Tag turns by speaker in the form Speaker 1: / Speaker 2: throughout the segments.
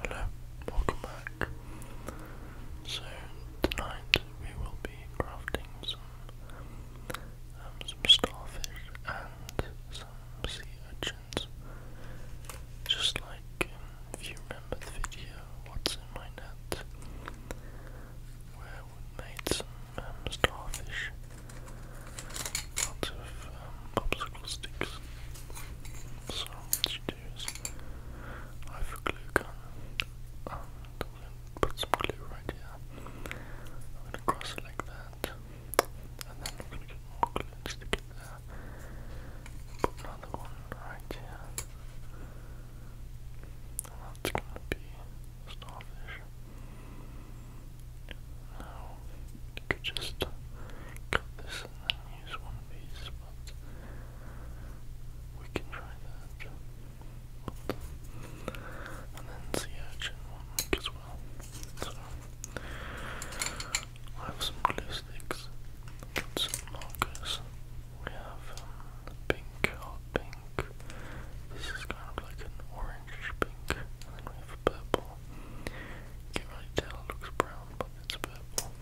Speaker 1: Hello, welcome back. So tonight we will be crafting some um, starfish and some sea urchins. Just like um, if you remember the video, what's in my net, where we made some um, starfish out of popsicle um, sticks. So, I have a glue gun I'm going to put some glue right here. I'm going to cross it like that and then I'm going to get more glue and stick it there. Put another one right here. that's going to be starfish. Now, you could just cut this and then use one piece, but we can try that. And then sea urchin one as well. So I have some glue sticks, got some markers. We have um, pink, pink. This is kind of like an orange pink, and then we have purple. You can't really tell, it looks brown, but it's purple.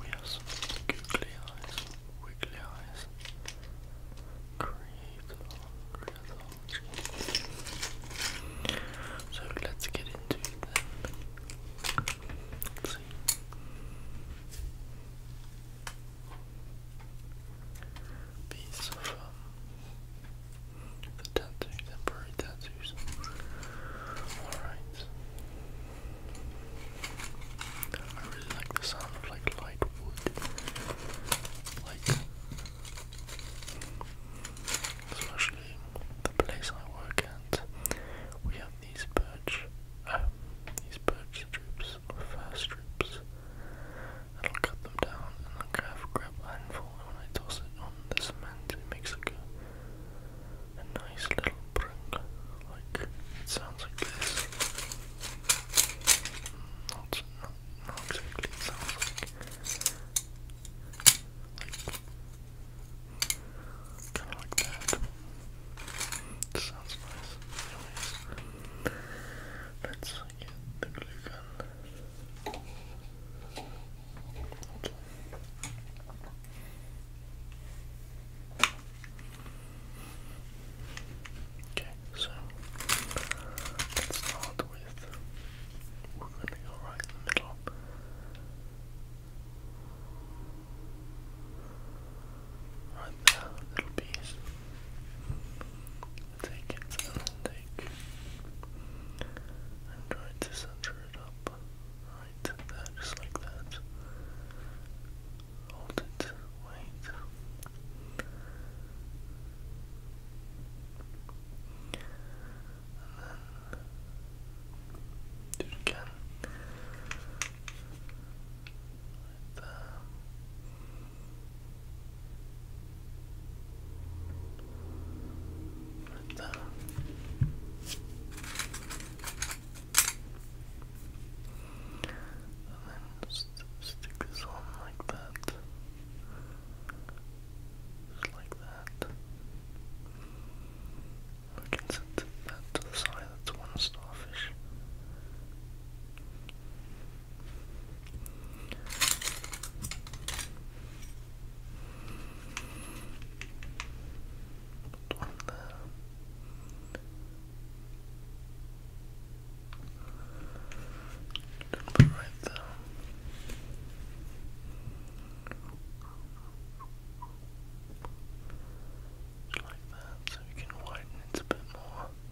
Speaker 1: We have some googly eyes, wiggly eyes. Creator, creator. So let's get into it Piece of the tattoos, temporary tattoos. Alright. I really like the sound like light wood. Like especially the place I work at. We have these birch um these birch strips or fir strips i will cut them down, and I grab, grab a handful, and when I toss it on this cement, it makes a, a nice little brink. Like, it sounds like this. Mm, not, not, not exactly, sounds like. like that. sounds nice. let's get the glue gun. Okay, so let's start with we're gonna go right in the middle. Right there, little piece take it to the lake and to center it up right there, just like that. Hold it, wait. And then do it again. Right Right and then st stick this on like that. Just like that. We can set that to the side, that's one starfish. One there. right there. like that, so you can widen it a bit more.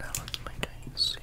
Speaker 1: Now let's make a sandwich.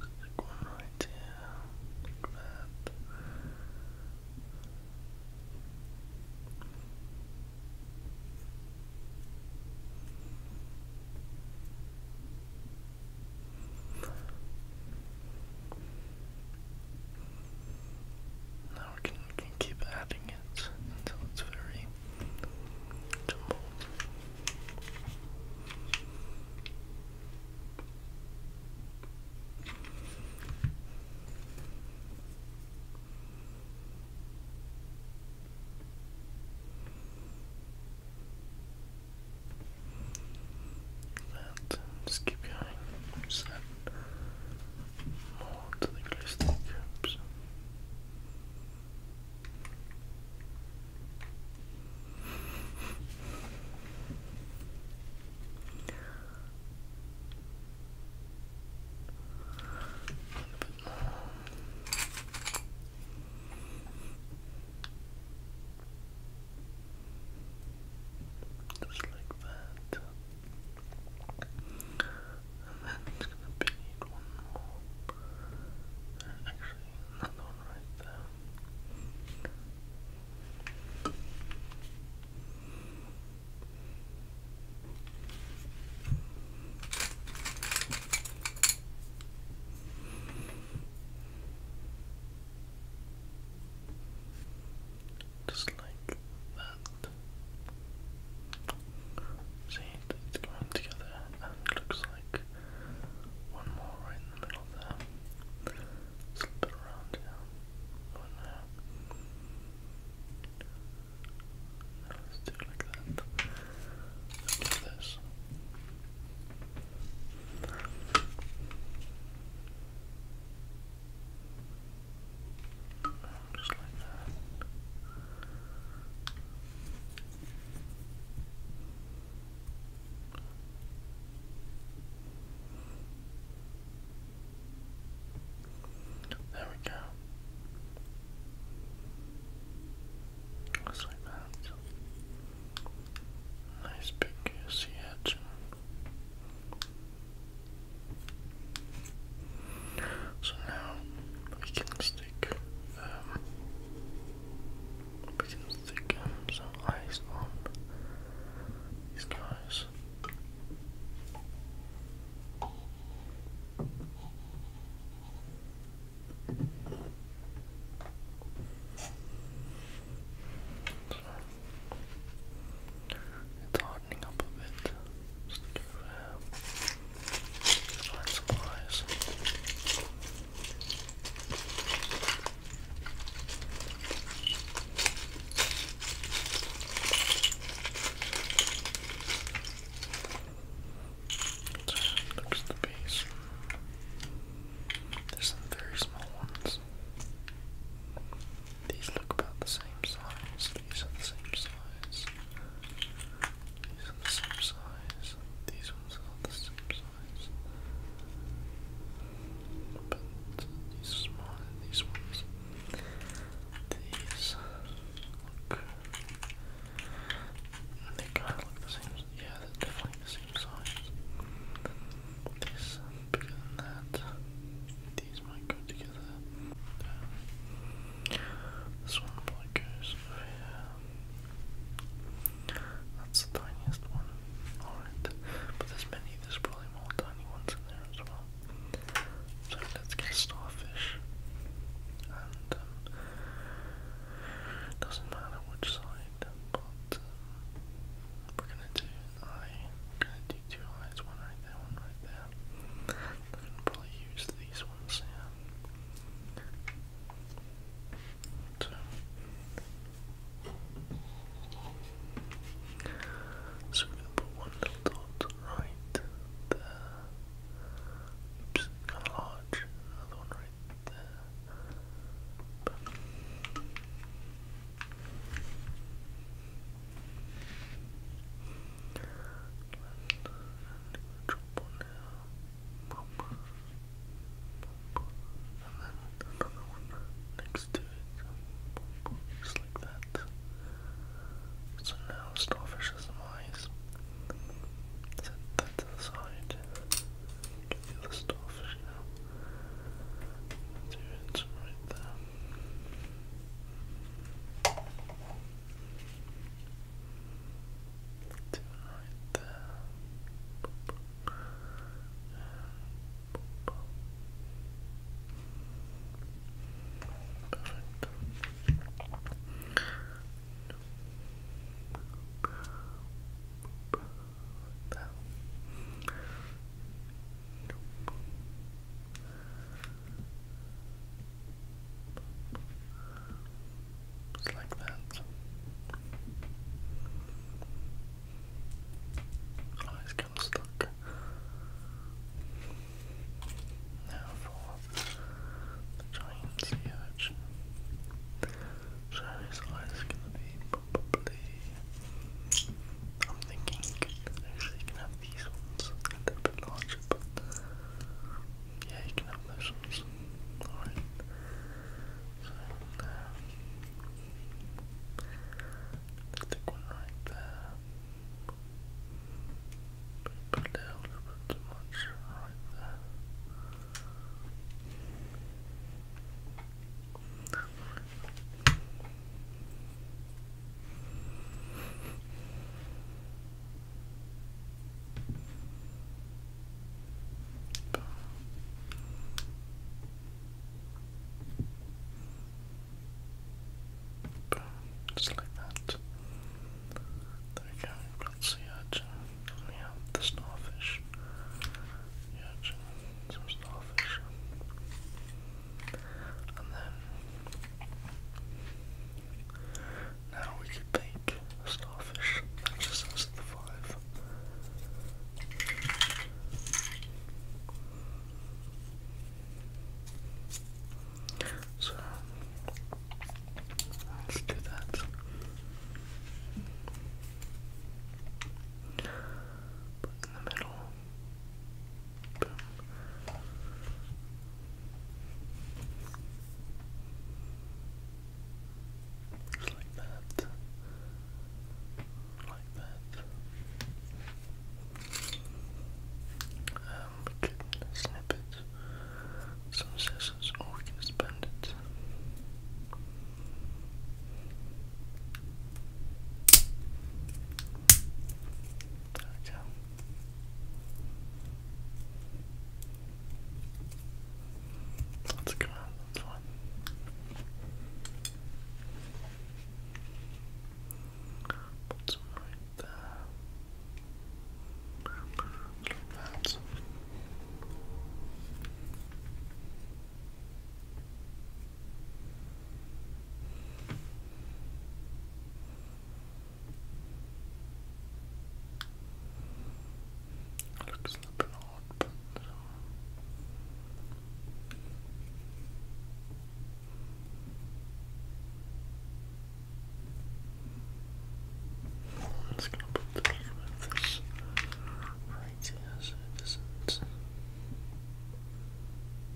Speaker 1: Like one right here, like that. Now we can keep adding it until it's very Jumbo. And just keep going onto the glistening cups. Just like that. And then it's gonna be one more. Uh, actually, another one right there. Just like that. See, it's coming together and looks like one more right in the middle there. slip it around here. Oh no. no let's do it like that. let this. Just like that. There we go. Just like that. Nice big sea edge. So now we can stick um, we can stick um, some ice on these guys. it's hardening up a bit find supplies. Looks the base. There's some very small ones. These look about the same size. These are the same size. These are the same size. These ones are the same size. But these are smaller than these ones. These look. They kind of look the same. Yeah, they're definitely the same size. This bigger than that. These this one probably goes That's the tiniest one. Alright. But there's many, there's probably more tiny ones in there as well. So let's get starfish. Um, doesn't matter which side, but um, we're gonna do take two eyes, one right there, one right there. I'm gonna probably use these ones here. So, so we're gonna put one little dot right there. Oops, kind of large. Another one right there. But, another one next to it, just like that. So now starfish has eyes. Set that to the side. Get the starfish now. Do it right there. Do right there. Perfect. Like just like that. Oh, it's stuck. Now for the giant sea urchin. So his eyes are gonna be probably. I'm thinking actually you can have these ones, a bit larger, but yeah, you can have those ones. Alright. So, um, one right there. Put a little bit too much right there. Boom, just like that. There we go, we've got sea urchin. We have the starfish. The urchin, starfish. And then now we could bake a starfish. just has the five. So let's do that. But in the middle, Boom. Just like that. Like that. Um, we some scissors, or we can just it. Tak, ciao. That's good one, that's right there. Look that. Looks a bit odd, but I'm just put the bottom of this right here it doesn't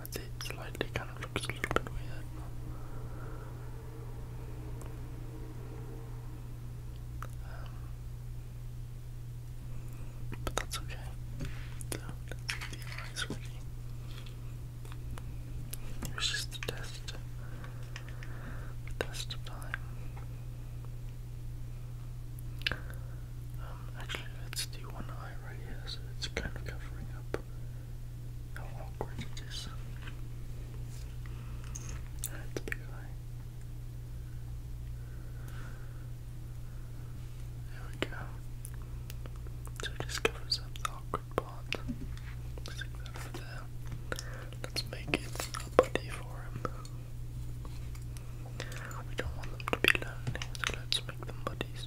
Speaker 1: I'd say it slightly kind of looks a little bit weird. Um, but that's okay. the eyes ready. It was just a test. A test of time. Um, actually, let's one eye right here, so it's kind of covering up how awkward it is. Alright, the There we go. So it just covers up the awkward part. Let's take Let's make it a for him. We don't want them to be lonely, let's make them buddies.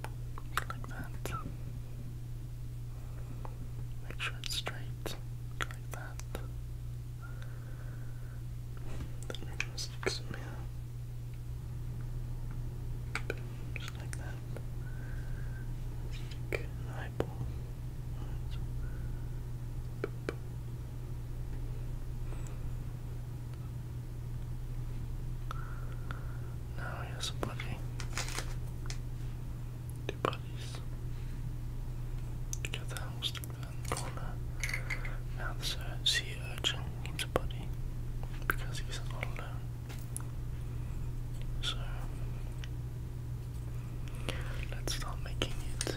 Speaker 1: like that. Make sure it's straight, like that. Then we're just some here. Just like that. Stick an eyeball. Right. Now he has a buddy. Two buddies. Get the hamster in the corner. Now the sea urchin needs a buddy because he's not alone. So let's start making it.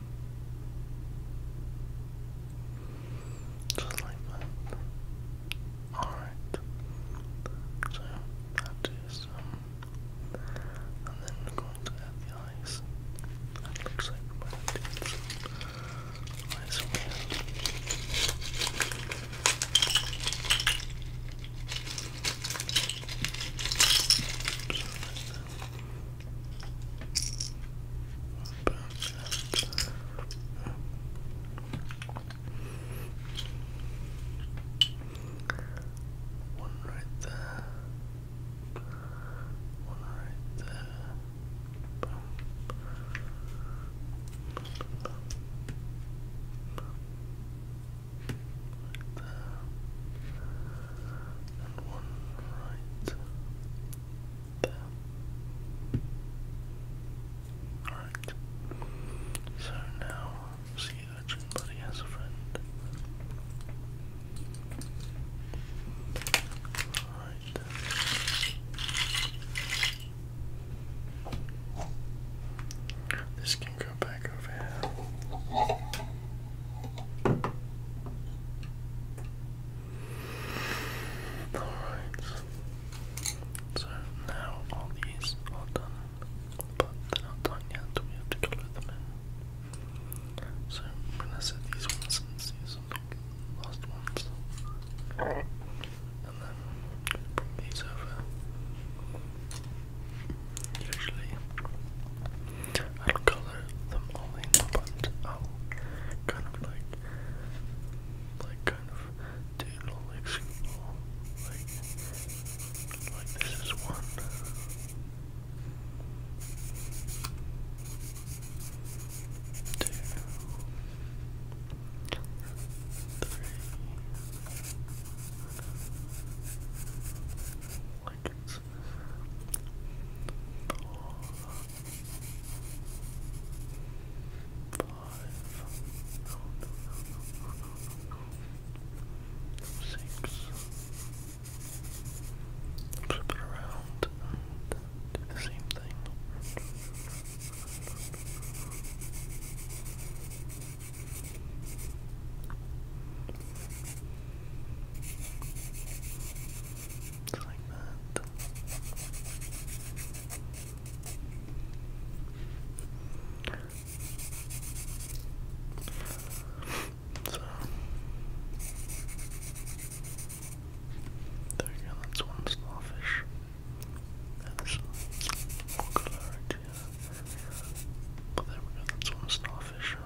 Speaker 1: Just like that. Alright. So i um, and then I'm going to add the eyes. looks like we eyes up, up, up. One right there. One right there. Bum, bum, bum, bum, bum. Right there. And one right Alright. So now, see that your has a friend. Alright. This can go back over here. Alright. So now all these are done. But they're not done yet, we have to colour them in. So I'm gonna set these ones since these are the last ones. And then bring these over. Usually I'll color them all in, but I'll kind of like, like kind of do little like like, like this is one sense. Four, Flip it around do the same thing. Just like that. So there you go, that's one starfish. And more color oh, there we go, that's one starfish.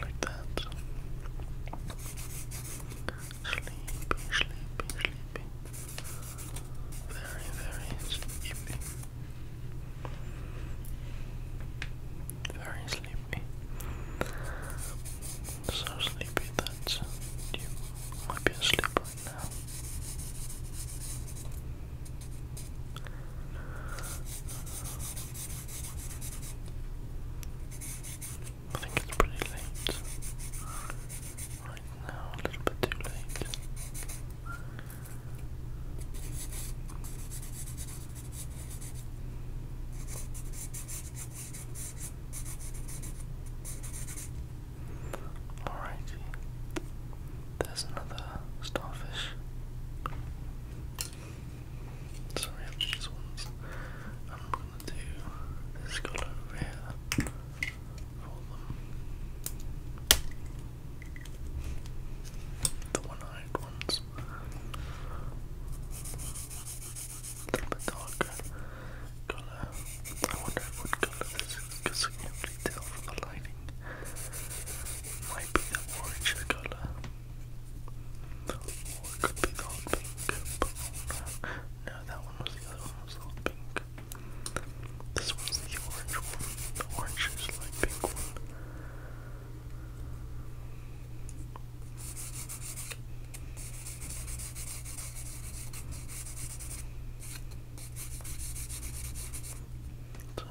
Speaker 1: Like that. Sleepy, sleepy, sleepy. Very, very sleepy. Very sleepy. So sleepy that you might be asleep I think it's pretty late. Right now, a little bit too late. Alrighty. There's another starfish. Sorry about these ones. I'm gonna do this guy here The one-eyed ones. A little bit darker colour. I wonder what colour this is because I can't really tell from the lighting. Might be the orange colour. Or could be the pink. no. no, that one was the other one was the pink. This one's the orange one. The orange like pink one. So,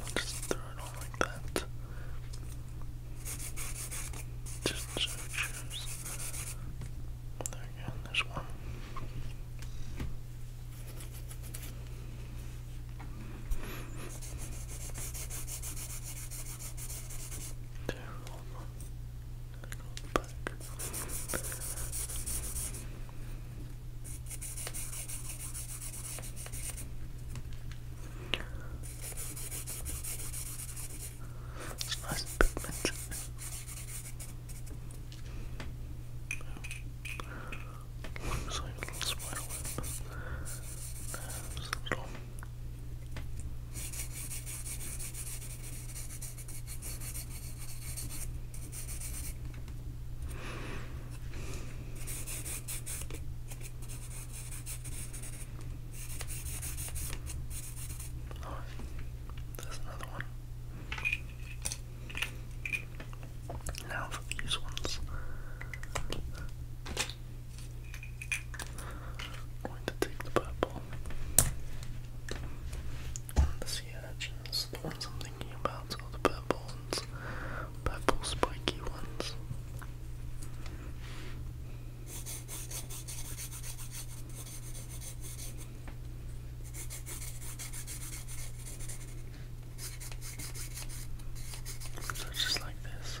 Speaker 1: i just throw it on like that. Just so There again, there's one. Two, back. It's nice pigment. Looks like a little spider There's a little Oh, there's another one. Now for these ones. Going to take the purple. And the sea urchins, the ones I'm thinking about are the purple ones, purple spiky ones. So just like this.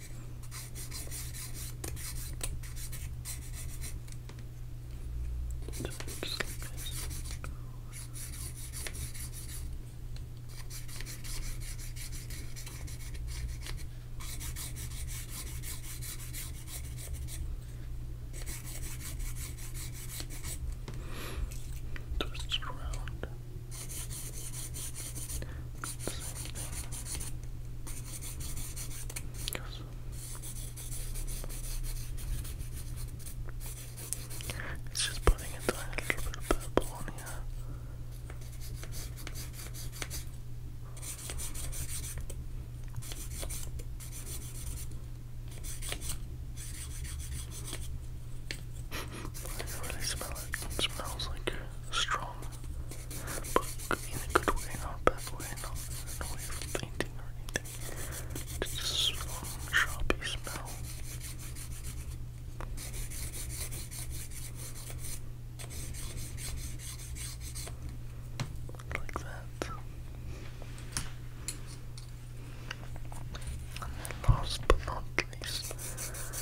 Speaker 1: Twist around. It's just putting a tiny little bit of purple on here. I can really smell it. smells like strong book in a good way, not bad way, not in from painting or anything. Just a strong, sharpie smell. Like that. And then last but not least,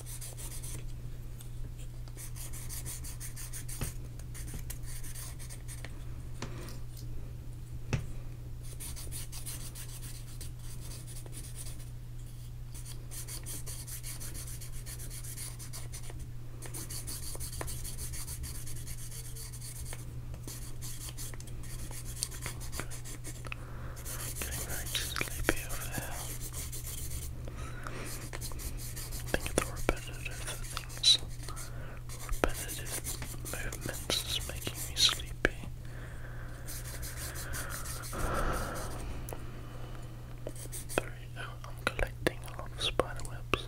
Speaker 1: Getting very sleepy over there. Think of the repetitive things. Repetitive movements making me sleepy. Three. Oh, I'm collecting a lot spider webs.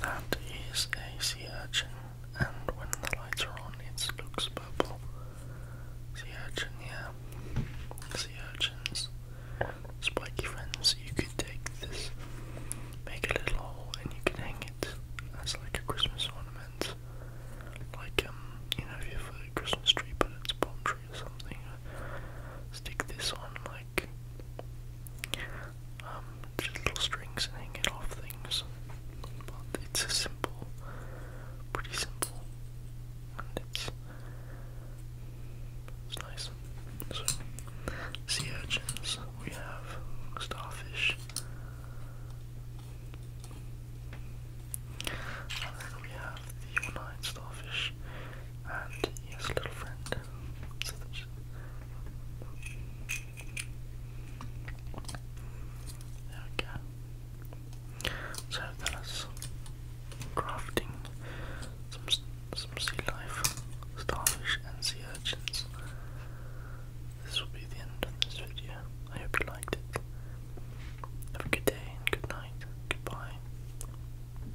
Speaker 1: that is a sea urchin, and when the lights are on, it looks purple. Sea urchin, yeah. Sea urchins. Spiky friends, you could take this, make a little hole, and you can hang it as like a Christmas ornament. Like, um, you know, if you have a Christmas tree, but it's a palm tree or something, uh, stick this on like um, little strings and off things. it's a simple, pretty simple, and it's it's nice. So sea urchins, we have starfish. And then we have the one starfish, and yes, little friend. So there we go. So that is crafting some some sea life, starfish and sea urchins. This will be the end of this video. I hope you liked it. Have a good day and good night. Goodbye.